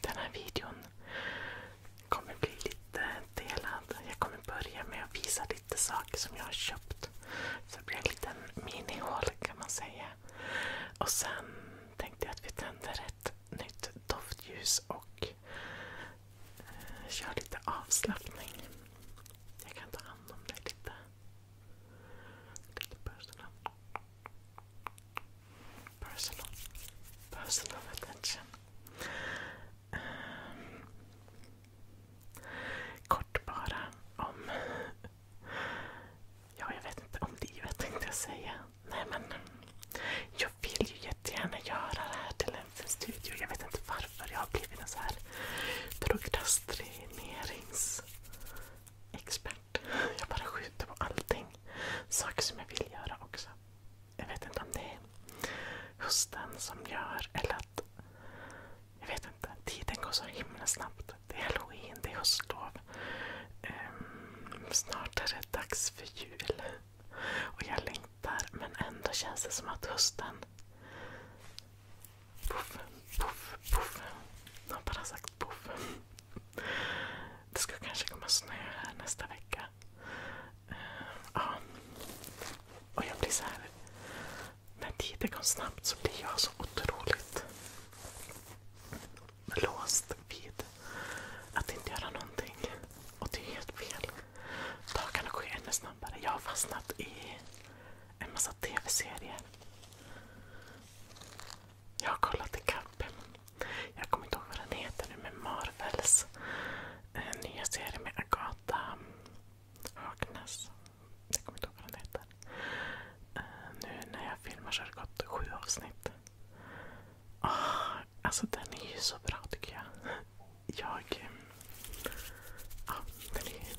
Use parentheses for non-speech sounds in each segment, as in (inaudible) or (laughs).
Den här videon kommer bli lite delad. Jag kommer börja med att visa lite saker som jag har köpt. Så det blir en liten minihål kan man säga. Och sen tänkte jag att vi tänder ett nytt doftljus och eh, kör lite avslappning. Jag kan ta hand om dig lite. Lite personal. Personal. Personal attention. Ehm. Kort bara om... Ja, jag vet inte om livet tänkte jag säga. Nej men... Jag vill ju jättegärna göra det här till en studio. Jag vet inte varför jag har blivit en så här prokrastineringsexpert. Jag bara skjuter på allting. Saker som jag vill göra också. Jag vet inte om det är hösten som gör eller att jag vet inte. Tiden går så himla snabbt. Det är halloween, det är höstlov. Um, snart är det dags för jul. Och jag längtar men ändå känns det som att hösten... Puff, puff, puff. De har bara sagt puff. Det ska kanske komma snö här nästa vecka. Uh, ja. Och jag blir så här när tiden går snabbt så blir jag så otroligt låst vid att inte göra någonting. Och det är helt fel. Dagarna går ännu snabbare. Jag har fastnat i en massa tv-serier. Jag har kollat ikapp. Jag kommer inte ihåg vad den heter nu, men Marvels eh, nya serie med Agatha Högnäs. Jag kommer inte ihåg vad den heter. Uh, nu när jag filmar så har det gått sju avsnitt. Oh, alltså den är ju så bra tycker jag. Jag... Eh, ja, den är ju...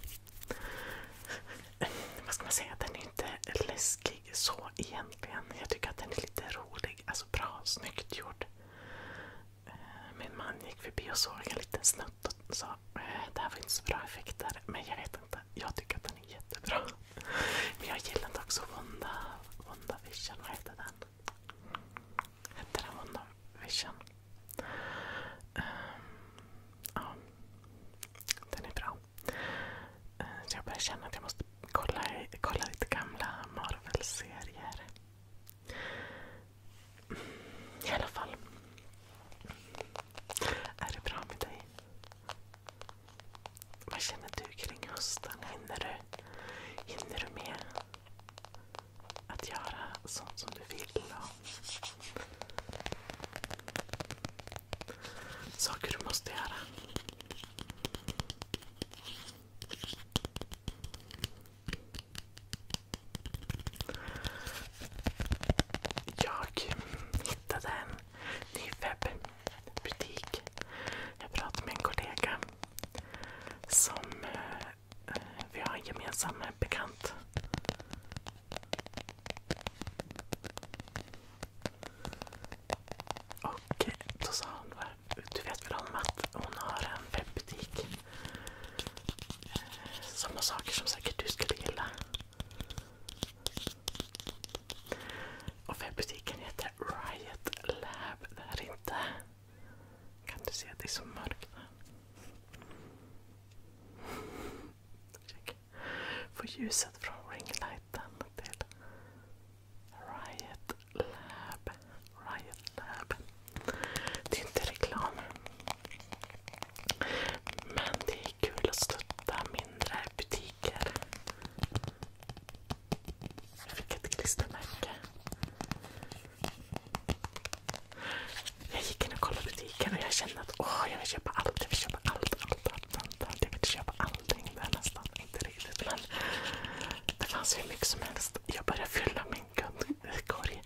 Vad ska man säga? Den är inte läskig så egentligen. Jag tycker att den är lite rolig. Alltså bra, snyggt gjord. Eh, min man gick förbi och såg en liten snutt så eh, det här var inte så bra effekter. Men jag vet inte. Jag tycker att den är jättebra. Men jag gillade också Wanda, Wanda Vision. Vad heter den? Hette den Wanda Vision? Um, ja, den är bra. Ehm, så jag börjar känna att jag måste kolla, kolla lite gamla Marvel-serier. I alla fall. Är det bra med dig? Vad känner du kring hösten? Hinner du, hinner du med att göra sånt som du vill? Saker du måste göra? Jag hittade en ny webbutik. Jag pratade med en kollega som eh, vi har en gemensam bekant. Och då sa hon, du vet väl om att hon har en webbutik? Eh, sådana saker som säkert du skulle gilla. Och webbutiken heter Riot Lab där inte. Kan du se det är så mörkt? Få ljuset från ringlighten till Riot Lab. Riot Lab. Det är inte reklam. Men det är kul att stötta mindre butiker. Jag fick ett klistermärke. Jag gick in och kollade butiken och jag kände att jag vill köpa allt. Jag vill köpa allt, Jag vill köpa allting där nästan. Inte riktigt men det fanns hur mycket som helst. Jag började fylla min kundkorg.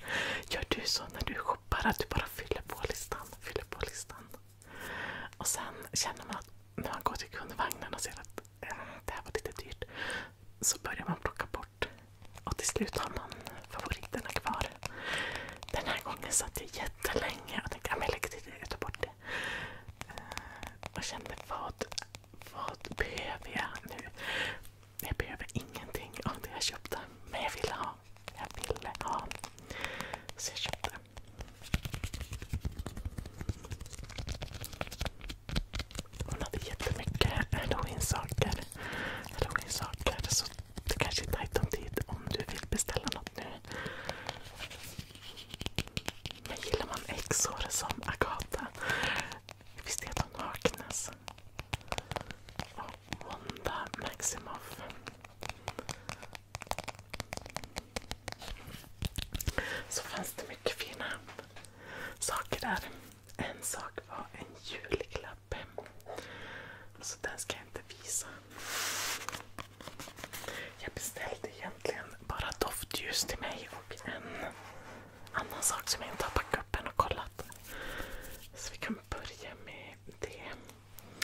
Gör du så när du shoppar att du bara fyller på listan. Fyller på listan. Och sen känner man att när man går till kundvagnen och ser att eh, det här var lite dyrt så börjar man plocka bort. Och till slut har man favoriterna kvar. Den här gången satt jag jättelänge och tänkte att jag lägger till det, och tar bort det. Eh, och kände vad, vad behöver jag nu? Jag behöver ingenting av det jag köpte, men jag ville ha jag ville ha. Så jag köpte. Hon hade jättemycket halloween-saker. Så det kanske är tajt om tid om du vill beställa något nu. Men gillar man exor som Agatha? Visst är de Harkness? Och Wanda Maximoff. Så fanns det mycket fina saker där. En sak var en julklapp. Så den ska jag inte visa. Jag beställde egentligen bara doftljus till mig och en annan sak som jag inte har packat upp än och kollat. Så vi kan börja med det.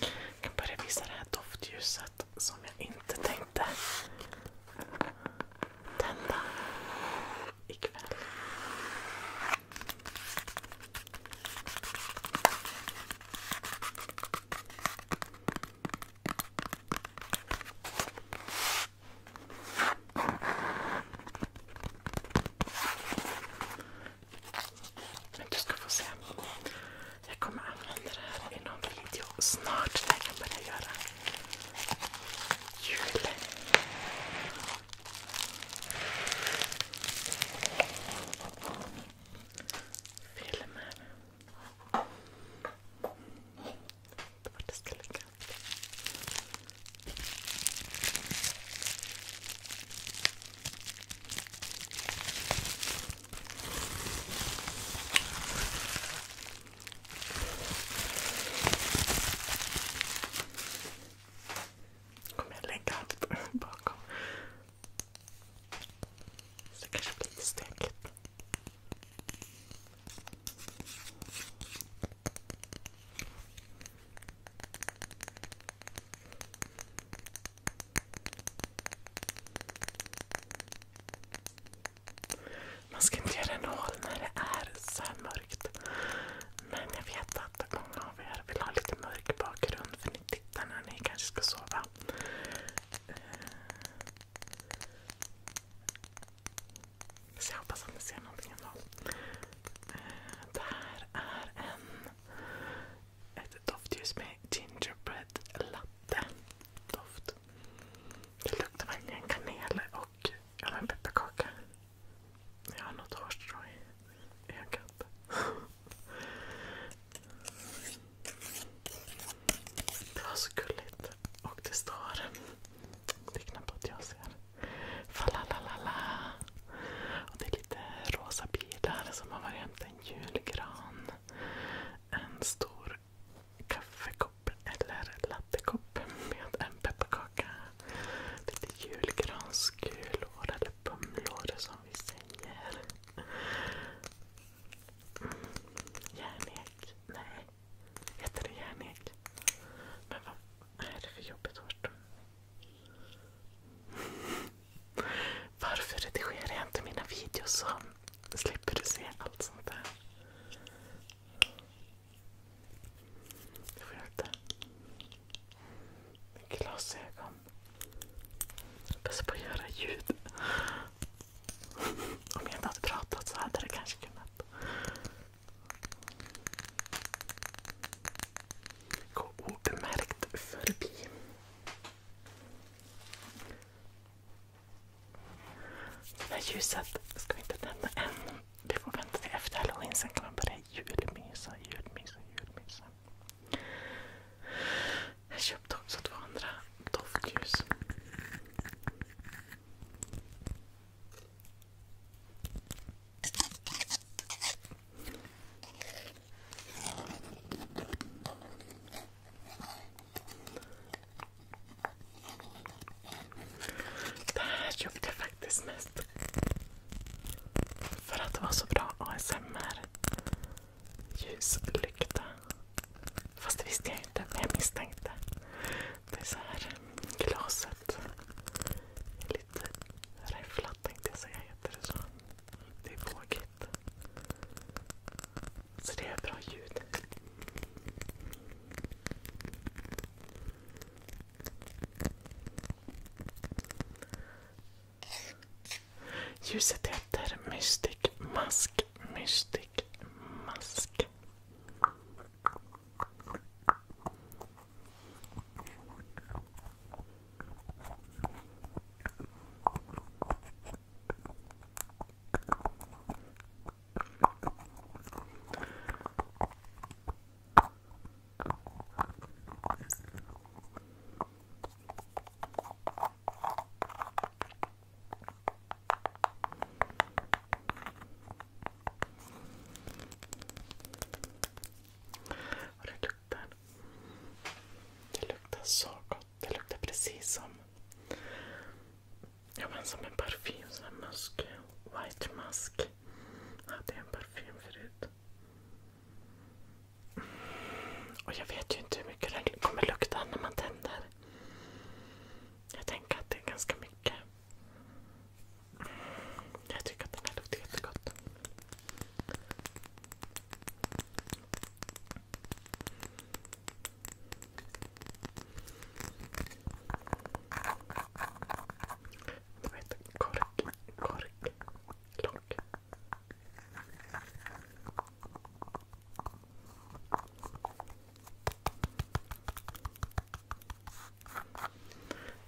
Jag kan börja visa det här doftljuset som jag inte tänkte tända ikväll. Men du ska få se. Jag kommer använda det här i någon video snart när jag kan börja göra jul. Filmer. Vart det ska ligga. Kommer jag lägga allt bakom. Så det kanske blir stökigt. Man ska inte göra en hål när det är så här mörkt. Men jag vet att många av er vill ha lite mörk bakgrund för ni tittar när ni kanske ska sova. Eh, så jag hoppas att ni ser någonting ändå. Eh, det här är en ett doftljus med gingerbread latte doft. Det luktar verkligen kanel och pepparkaka. Jag har något hårstrå i ögat. (laughs) Det var så gulligt. Och det står... Det är knappt att jag ser. Falalala. Och det är lite rosa bilar som man var hämtat en julgran, en stor kaffekopp eller lattekopp med en pepparkaka, lite julgranskulor eller bumlor som vi säger. Mm. Järnek? Nej. Heter det järnek? Men vad är det för jobbigt hårt? Varför redigerar jag inte mina videos så slipper du se allt sånt där? Jag får inte. Glasögon. passar på att göra ljud. Om jag inte hade pratat så hade det kanske kunnat. Gå obemärkt förbi. Det här ljuset ska vi inte tända än. Det får vänta till efter halloween, sen kan man börja julmysa, julmysa, julmysa. Jag köpte också två andra doftljus. Det här köpte jag faktiskt mest för att det var så bra ASMR. Ljuslykta. Fast det visste jag inte, men jag misstänkte. Det är så här glaset. Lite räfflat tänkte jag Heter det så? Det är båg tråkigt. Så det är bra ljud. Ljuset heter Mystic Mask, Mystic Mask. Olet luktar. Det luktar så gott. Det luktar precis som ja, men som en parfym. Som en musk. White musk. Jag hade en parfym förut. Och jag vet ju inte hur mycket den kommer lukta när man tänder. Jag tänker att det är ganska mycket. Jag tycker att den här luktar jättegott. De heter kork, kork, lock.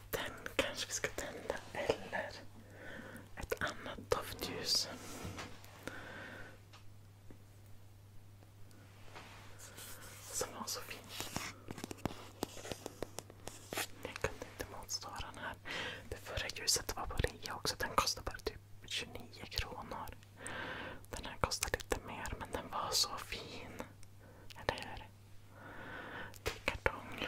Den kanske vi ska tända eller ett annat doftljus. Som var så fint. Jag kunde inte motstå den här. Det förra ljuset var på rea också. Den kostade bara typ 29 kronor. Den här kostar lite mer men den var så fin. Eller hur? Det kartong.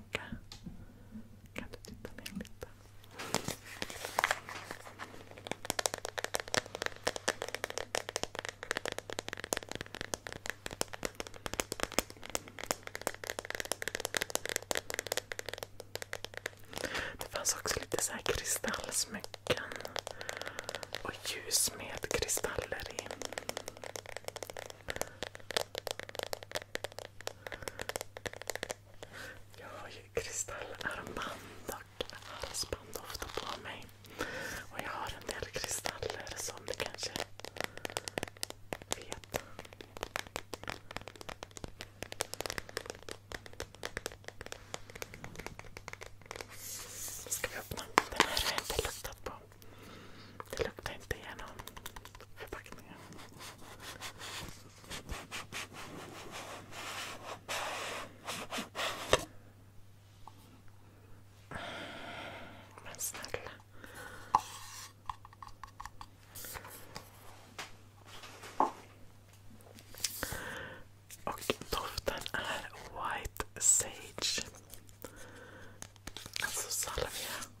jacka. Kan du titta ner lite? Det fanns också lite så här kristallsmycken och ljus med kristaller i. Jag har ju kristallarband och halsband på mig. Och jag har en del kristaller som ni kanske vet. Ska vi öppna? Den här har jag inte luktat på. Det luktar inte igenom förpackningen. Men snälla. Och doften är White Sage. Alltså salvia.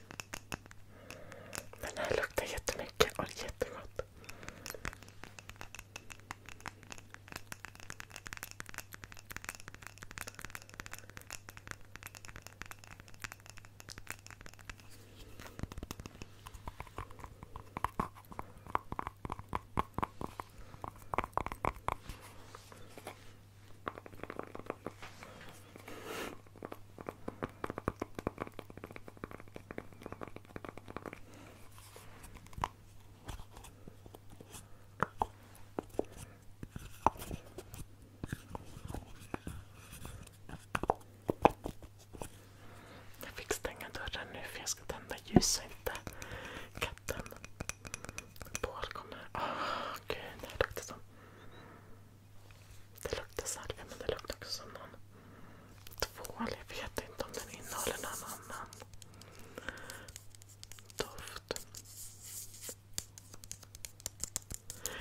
Den här luktar jättemycket och jättegott. Jag fick stänga dörren nu för jag ska tända ljus så inte katten Paul kommer... Åh oh, gud, det här luktar som... Det luktar salvia men det luktar också som någon tvål. Jag vet inte om den innehåller någon annan doft.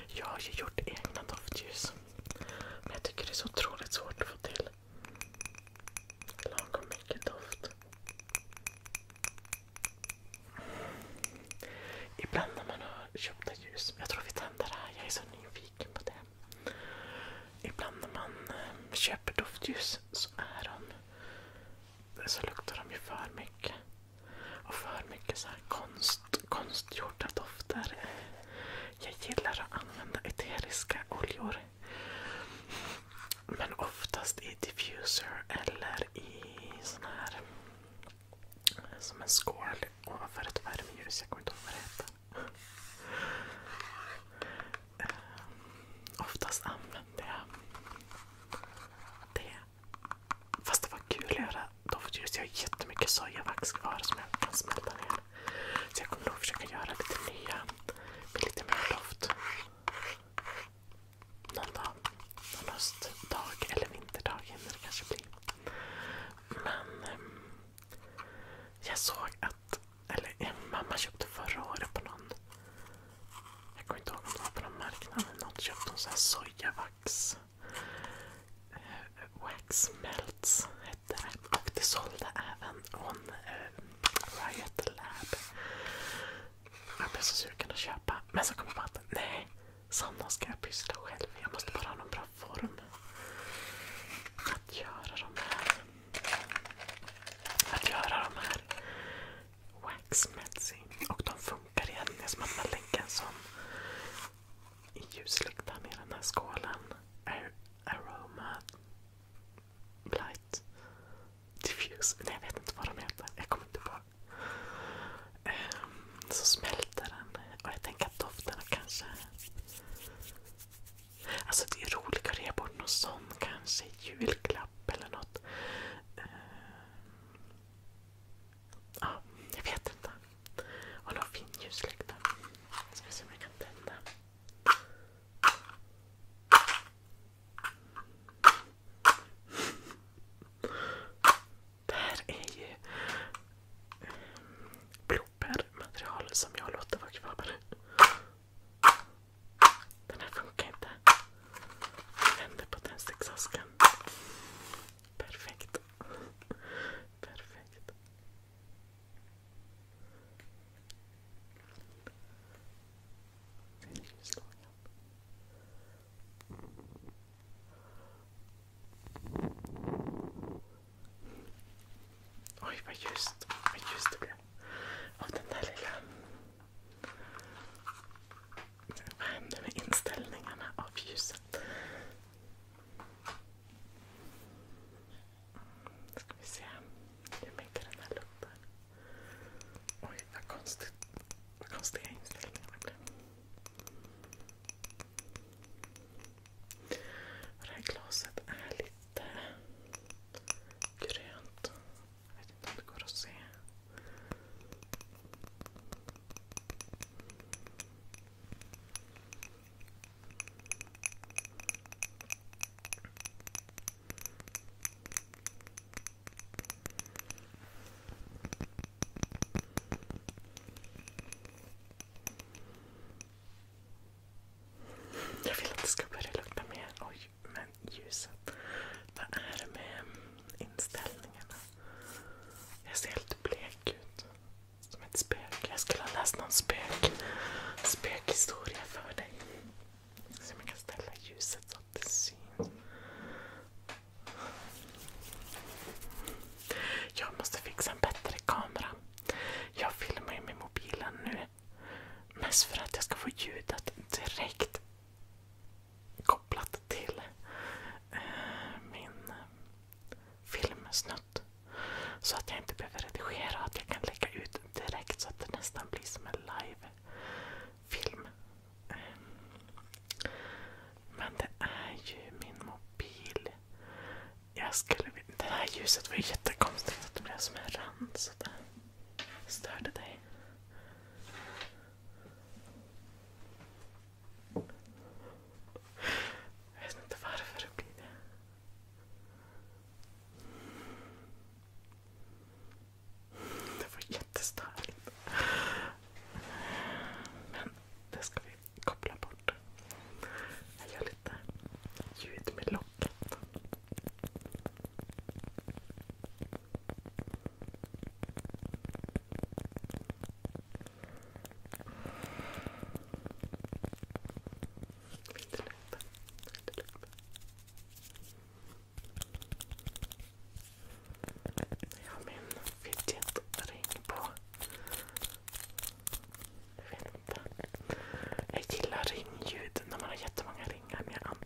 Jag har ju gjort egna doftljus. Men jag tycker det är så otroligt svårt att få till lagom mycket doft. Ibland när man har köpta ljus, jag tror vi tänder det här, jag är så nyfiken på det. Ibland när man eh, köper doftljus så är de så luktar de ju för mycket. Och för mycket så här konst, konstgjorda dofter. Jag gillar att använda eteriska oljor. Men oftast i diffuser eller i sån här som en skål ovanför ett värmeljus. Jag kommer inte ihåg vad det heter. Oftast använder jag det. Fast det var kul att göra doftljus. Jag har jättemycket sojavax kvar som jag kan smälta ner. Så jag kommer nog försöka göra lite nya med lite mer doft. Någon dag. Någon höstdag eller vinterdag hinner det kanske bli. Men... Um, jag såg att... Eller mamma köpte förra året på någon... Jag kommer inte ihåg om det var på någon marknad eller något. Köpte hon så här sojavax. Uh, wax melts hette det. Och det sålde även hon uh, Riot Lab. Jag blev så sugen att köpa. Men så kom jag på att nej, sådana ska jag pyssla själv. Jag måste bara ha någon bra form att göra de här, att göra de här wax Och de funkar igen. Det är som att man lägger en sån ljuslyktan i den här skålen. Ar aroma Light Diffuse. Nej, jag vet inte vad de heter. Jag kommer inte på. Um, så smälter den. Och jag tänker att dofterna kanske Alltså det är roligt att ge bort någon sån kanske. Julklapp eller något. Uh, ja, jag vet inte. Och någon fin ljuslykta. Ska vi se om jag kan tända. Det här är ju bloopermaterial som jag låter vara kvar. Den här funkar inte. Jag vänder på tändsticksasken. Perfekt. Perfekt. Oj, vad ljust, vad ljust det blev av den där lilla... Vad händer med inställningarna av ljuset? Nu ska vi se hur mycket den här luktar. Oj, vad konstiga inställningarna blev. Det här glaset är lite grönt. Jag vet inte om det går att se. Jag vill att det ska börja lukta mer. Oj, men ljuset. Vad är det med inställningarna? Jag ser helt blek ut. Som ett spöke. Jag skulle ha läst någon spökhistoria för dig. Så man kan ställa ljuset så att det syns. Jag måste fixa en bättre kamera jag filmar ju med mobilen nu. Mest för att jag ska få ljudet direkt kopplat till eh, min eh, filmsnutt. Så att jag inte behöver redigera att jag kan lägga ut direkt så att det nästan blir som en live-film. Ehm, men det är ju min mobil. Jag skulle Det här ljuset var ju jättekonstigt att det blev som en rand så det störde dig. Jag vet inte varför det blir det. Det var jättestörigt. det ska vi koppla bort. Jag gör lite ljud med locket. Inte lukta. Inte lukta. Jag har min fidget-ring på. Jag gillar ringljud när man har jättemånga ringar. Men jag,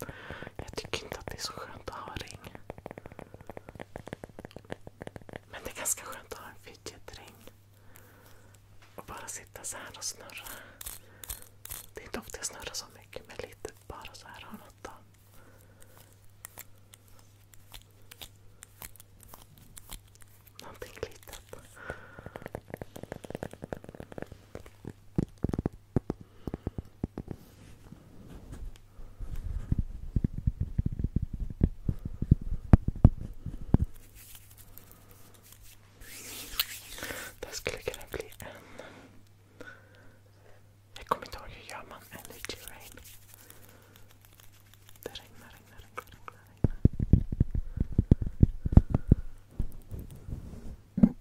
jag tycker inte att det är så skönt att ha ring. Men det är ganska skönt att ha en fidget-ring. Och bara sitta så här och snurra. Det är inte ofta jag snurrar så mycket, men lite bara så här har något av. Någonting litet. Det skulle kunna bli en... Jag kommer inte ihåg hur gör man energy rain. Det regnar, regnar, regnar. regnar, regnar.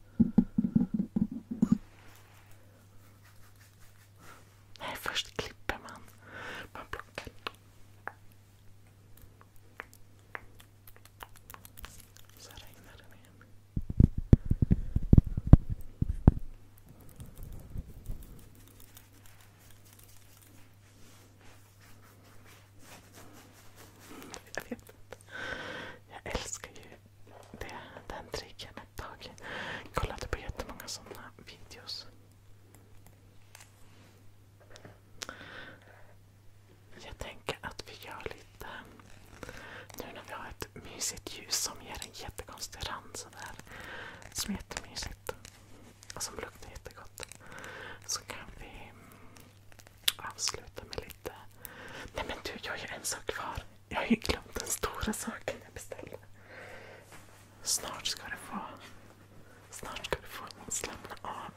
Nej, först klipper man. Man plockar. Så regnar den igen. Jag vet inte. Jag älskar ju den tricken ett tag. Jag kollade på jättemånga sådana videos. Jag tänker att vi gör lite... Nu när vi har ett mysigt ljus som ger en jättekonstig rand sådär. Som är jättemysigt. Som luktar jättegott. Så kan vi mm, avsluta med lite... Nej men du, jag har ju en sak kvar. Jag har ju glömt den stora saken jag beställde. Snart ska du få... Snart ska du få slappna av.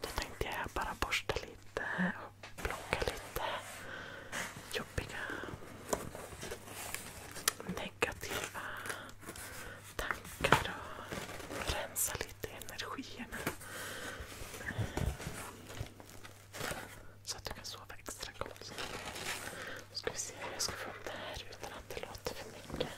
Då tänkte jag bara borsta lite och plocka lite jobbiga negativa tankar och rensa lite energierna. Så att du kan sova extra gott. Nu ska vi se hur jag ska få upp det här utan att det låter för mycket.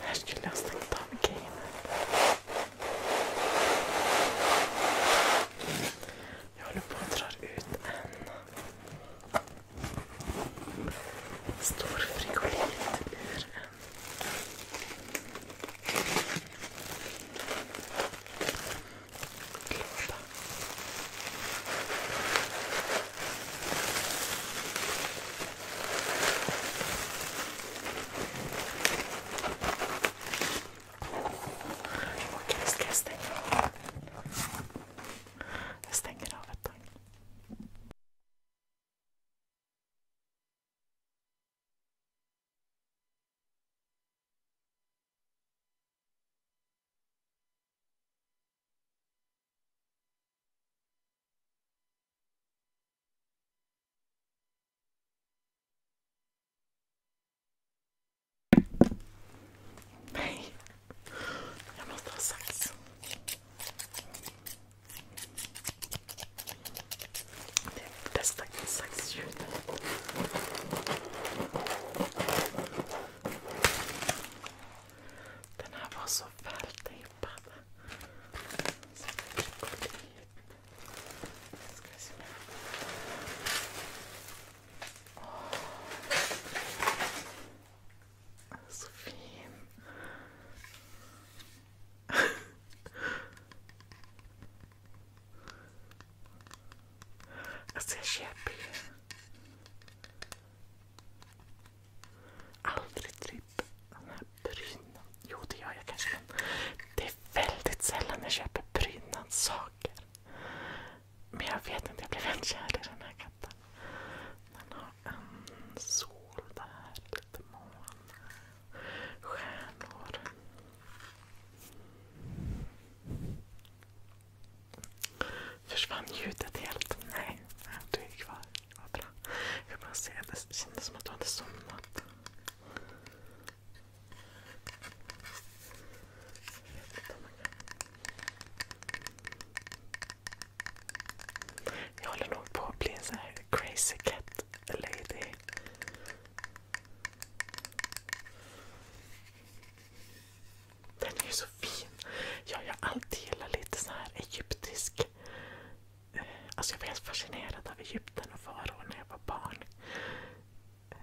Här skulle jag stå och ta med grejerna. Jag håller på att dra ut en stor frigolit ur en Klubba. Okej, ska jag stänga av? Jag stänger av ett tag. Nej, jag måste ha sax. Det är bästa saxljud. Den här var så vältejpad. Så jag fick gå dit. Ska vi se om jag oh. Så fin. (laughs) Alltså jag köper ju aldrig tripp. Prydnad. Jo det gör jag kanske men det är väldigt sällan jag köper prydnadssaker. Men jag vet inte, jag blev helt kär i den här katten. Den har en sol där, lite moln, stjärnor. Försvann ljudet helt? Nej, du är kvar. Vad bra. Jag bara se, det kändes som att du hade somnat. Jag håller nog på att bli en sån här crazy cat lady. Den är ju så fin. jag har alltid gillat lite så här egyptisk. Eh, alltså jag var helt fascinerad av Egypten och faror när jag var barn. Eh,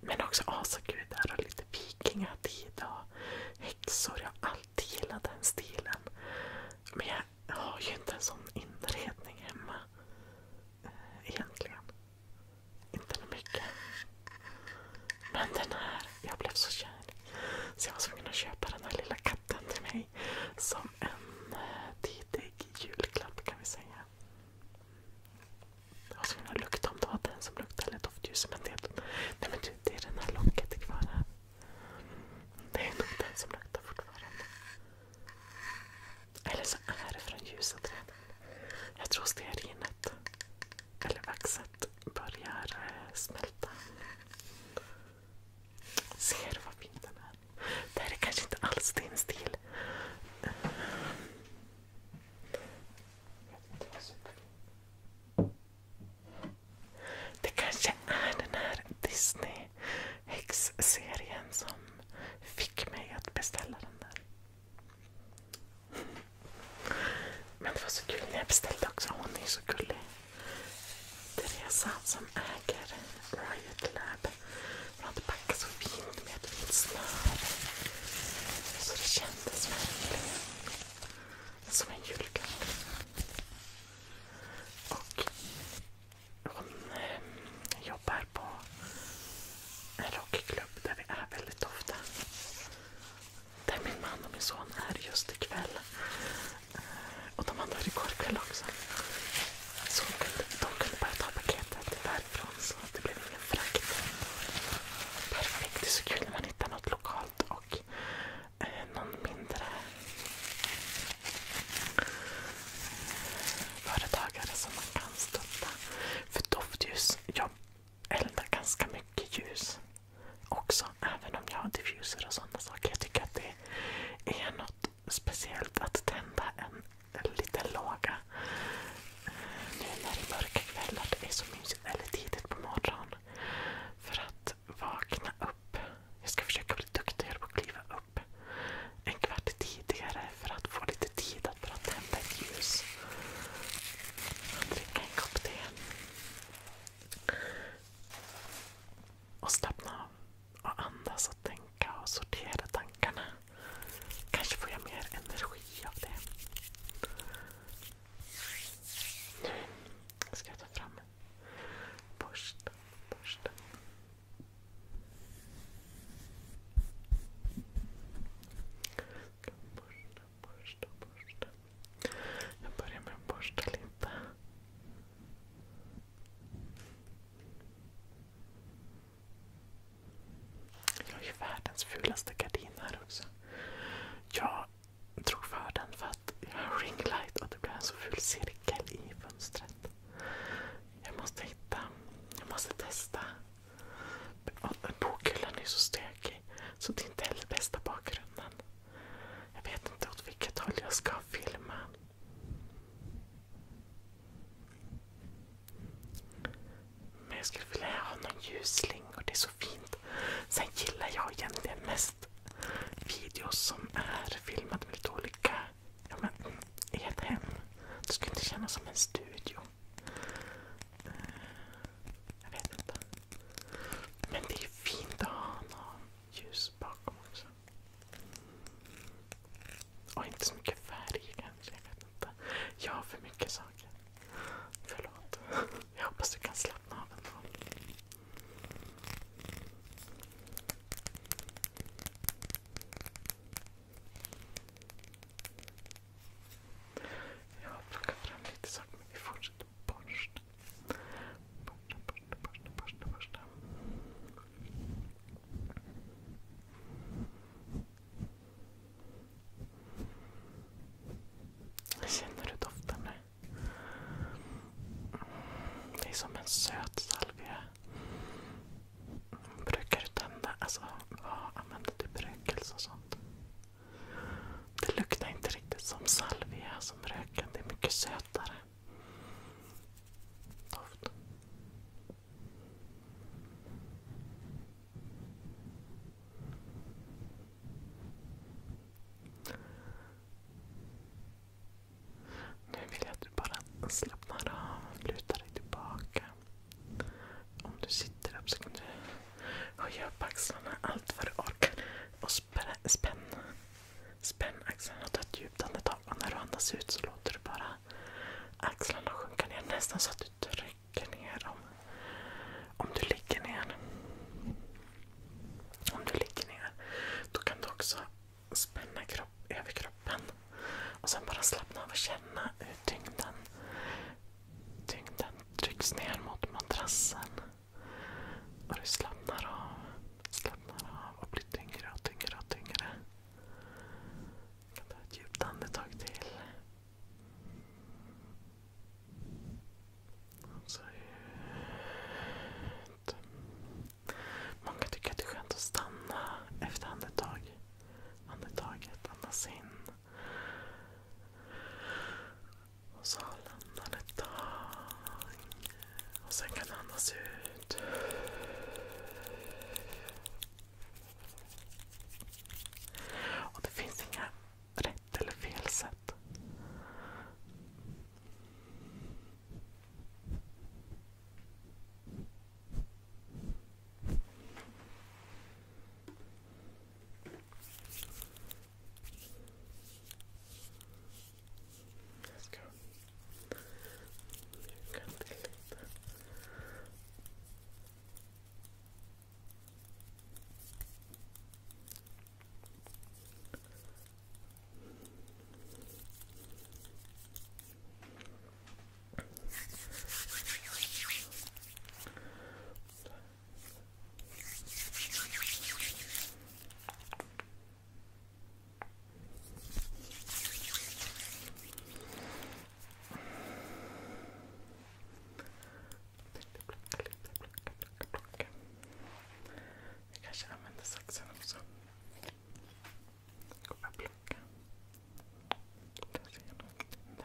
men också asagudar och lite vikingatid och häxor. Jag har alltid gillat den stilen. Men jag har ju inte en sån inredning hemma eh, egentligen. Inte mycket. Men den här, jag blev så kär. Så jag var tvungen att köpa den här lilla katten till mig. Som en eh, tidig julklapp kan vi säga. Jag var tvungen att lukta om det var den som luktade eller doftljus. nej men du, det är den här locket kvar här. Det är nog den som luktar fortfarande. Eller så är det från ljusa träden. Jag tror stearinet eller vaxet börjar eh, smälta. Ser du vad fin den är? Det här är kanske inte alls din stil. Det kanske är den här Disney häxserien som fick mig att beställa den där. Men det var så kul när jag beställde också. Hon är så gullig. Teresa som äger Riot Lab. Hon hade packat så fint med ett fint snöre. Så det kändes verkligen som en julklapp. Och hon eh, jobbar på en rockklubb där vi är väldigt ofta. Där min man och min son är just ikväll. Eh, och de andra igår kväll också. Så de kunde bara ta paketet därifrån så det blev ingen frakt. Perfekt. Det är så kul när man hittar något lokalt och eh, någon mindre eh, företagare som man kan stötta. För doftljus, jag elda ganska mycket ljus också. Även om jag har diffuser och sådana saker. Jag tycker att det är något speciellt att tända en, liten låga. Eh, nu när det är mörka kvällar. Det är så mysigt. Eller tidigt på morgonen. För att vakna upp. Jag ska försöka bli duktigare på att kliva upp en kvart tidigare för att få lite tid att tända ett ljus och dricka en kopp te. Och slappna av och andas och tänka och sortera tankarna. Kanske får jag mer energi av det. Nu ska jag ta fram borsten. borsten borsta, borsta. Jag börjar med att borsta lite. Jag har ju världens fulaste gardin här också. Jag drog för den för att jag har ringlight och det blev en så ful cirkel i fönstret. Jag måste hitta, jag måste testa Bokhyllan är så stökig så det är inte heller bästa bakgrunden. Jag vet inte åt vilket håll jag ska filma. Men jag skulle vilja ha någon ljusslingor, det är så fint. Sen gillar jag egentligen mest videos som är filmade med lite olika ja, men, mm, i ett hem. Det skulle inte kännas som en studio. Jag vet inte. Men det är fint att ha något ljus bakom också. Och inte så mycket färg kanske. Jag vet inte. Jag har för mycket saker. Förlåt. Jag hoppas du kan slappna av ändå. Jag har fram lite saker men vi fortsätter borsta. Borsta, borsta, borsta, Känner du doften nu? Det är som en söt salvia. Brukar du tända, alltså vad använder du brökelse och sånt? Det luktar inte riktigt som salvia som röken. Det är mycket sötare Nu vill jag att du bara slappnar av. lutar dig tillbaka. Om du sitter upp så kan du höja upp axlarna allt vad du orkar. Och spänn, spänn, axlarna och ta ett djupt andetag. Och när du andas ut så låter du bara axlarna sjunka ner. Nästan så att du trycker ner dem. Om du ligger ner. Om du ligger ner. Då kan du också spänna kropp, överkroppen. Och sen bara slappna av och känna hur tyngden Tyngden trycks ner mot madrassen. Och du slappnar av, slappnar av och blir tyngre och tyngre och tyngre. kan ta ett djupt andetag till. så ut. Många tycker att det är skönt att stanna efter andetag. andetaget. Andas in. Och så lämnar han ett tag. Och sen kan han andas ut. Och det finns inga rätt eller fel sätt. Let's go. You can delete that. Jag kanske använder saxen också. Jag kommer plocka. Där ser jag något. Där.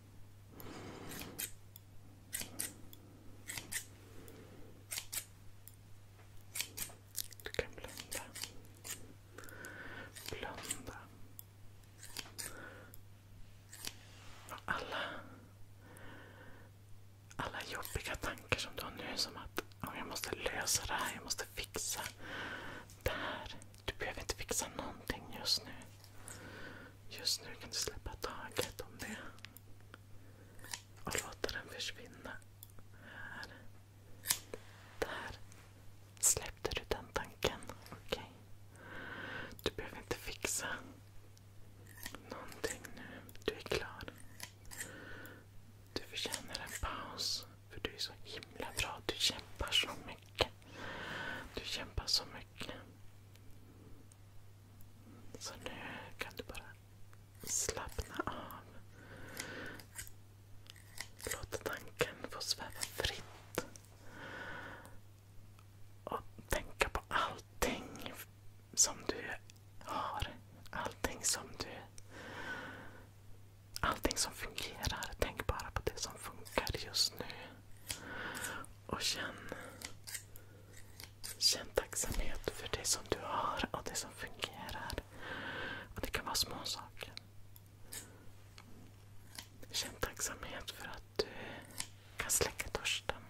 Du kan blunda. Blunda. Alla, alla jobbiga tankar som du har nu som att oh, jag måste lösa det här, jag måste fixa det här. Du behöver inte fixa någonting just nu. Just nu kan du släppa taget om det. Och låta den försvinna. Här. Där. Släppte du den tanken? Okej. Okay. Du behöver inte fixa någonting nu. Du är klar. Du förtjänar en paus. För du är så himla bra. Du kämpar så mycket. Du kämpar så mycket. Så nu kan du bara slappna av. Låt tanken få sväva fritt. Och tänka på allting som du har. Allting som du... Allting som fungerar. Tänk bara på det som funkar just nu och känn, känn tacksamhet för det som du har och det som fungerar. Och Det kan vara små saker. Känn tacksamhet för att du kan släcka törsten.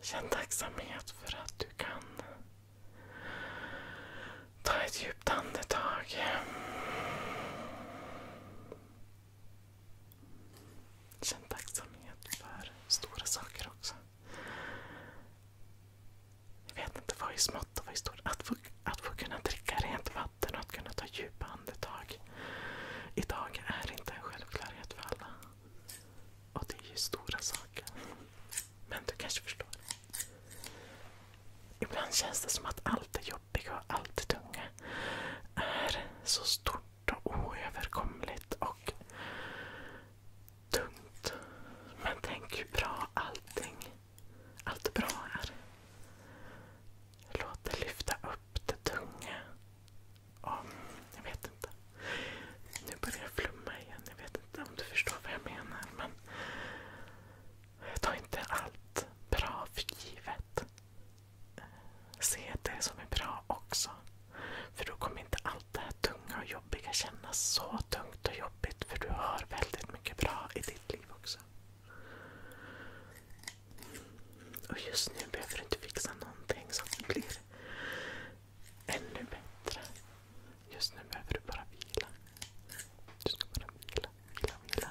Känn tacksamhet för att du kan ta ett djupt andetag. Känn tacksamhet för stora saker också. Jag vet inte vad är smått och vad är stort. Att få, att få kunna dricka rent vatten och att kunna ta djupa andetag. Idag är inte en självklarhet för alla. Och det är ju stora saker. Men du kanske förstår. Ibland känns det som att allt det jobbiga och allt det tunga är så stort svårt och oöverkomligt och tungt. Men tänk hur bra allting, allt bra är. Låt det lyfta upp det tunga. Om, jag vet inte. Nu börjar jag flumma igen. Jag vet inte om du förstår vad jag menar. Men Ta inte allt bra för givet. Se det som är bra också. För då kommer inte allt det här tunga och jobbiga kännas så tungt och jobbigt. För du har väldigt mycket bra i ditt liv också. Och just nu behöver du inte fixa någonting så att det blir ännu bättre. Just nu behöver du bara vila. Du ska bara vila, vila, vila.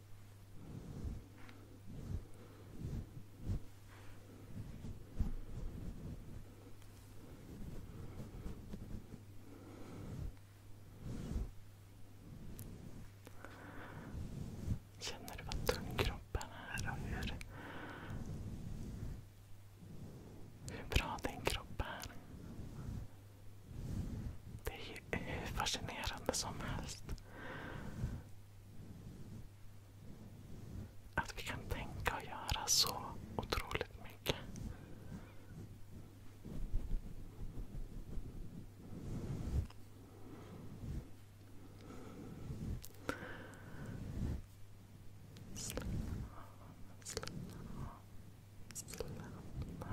Känner du vad tung kroppen är hur, bra din kropp är? Det är hur fascinerande som helst. Att vi kan tänka och göra så otroligt mycket. Slappna av, slappna av, slappna av.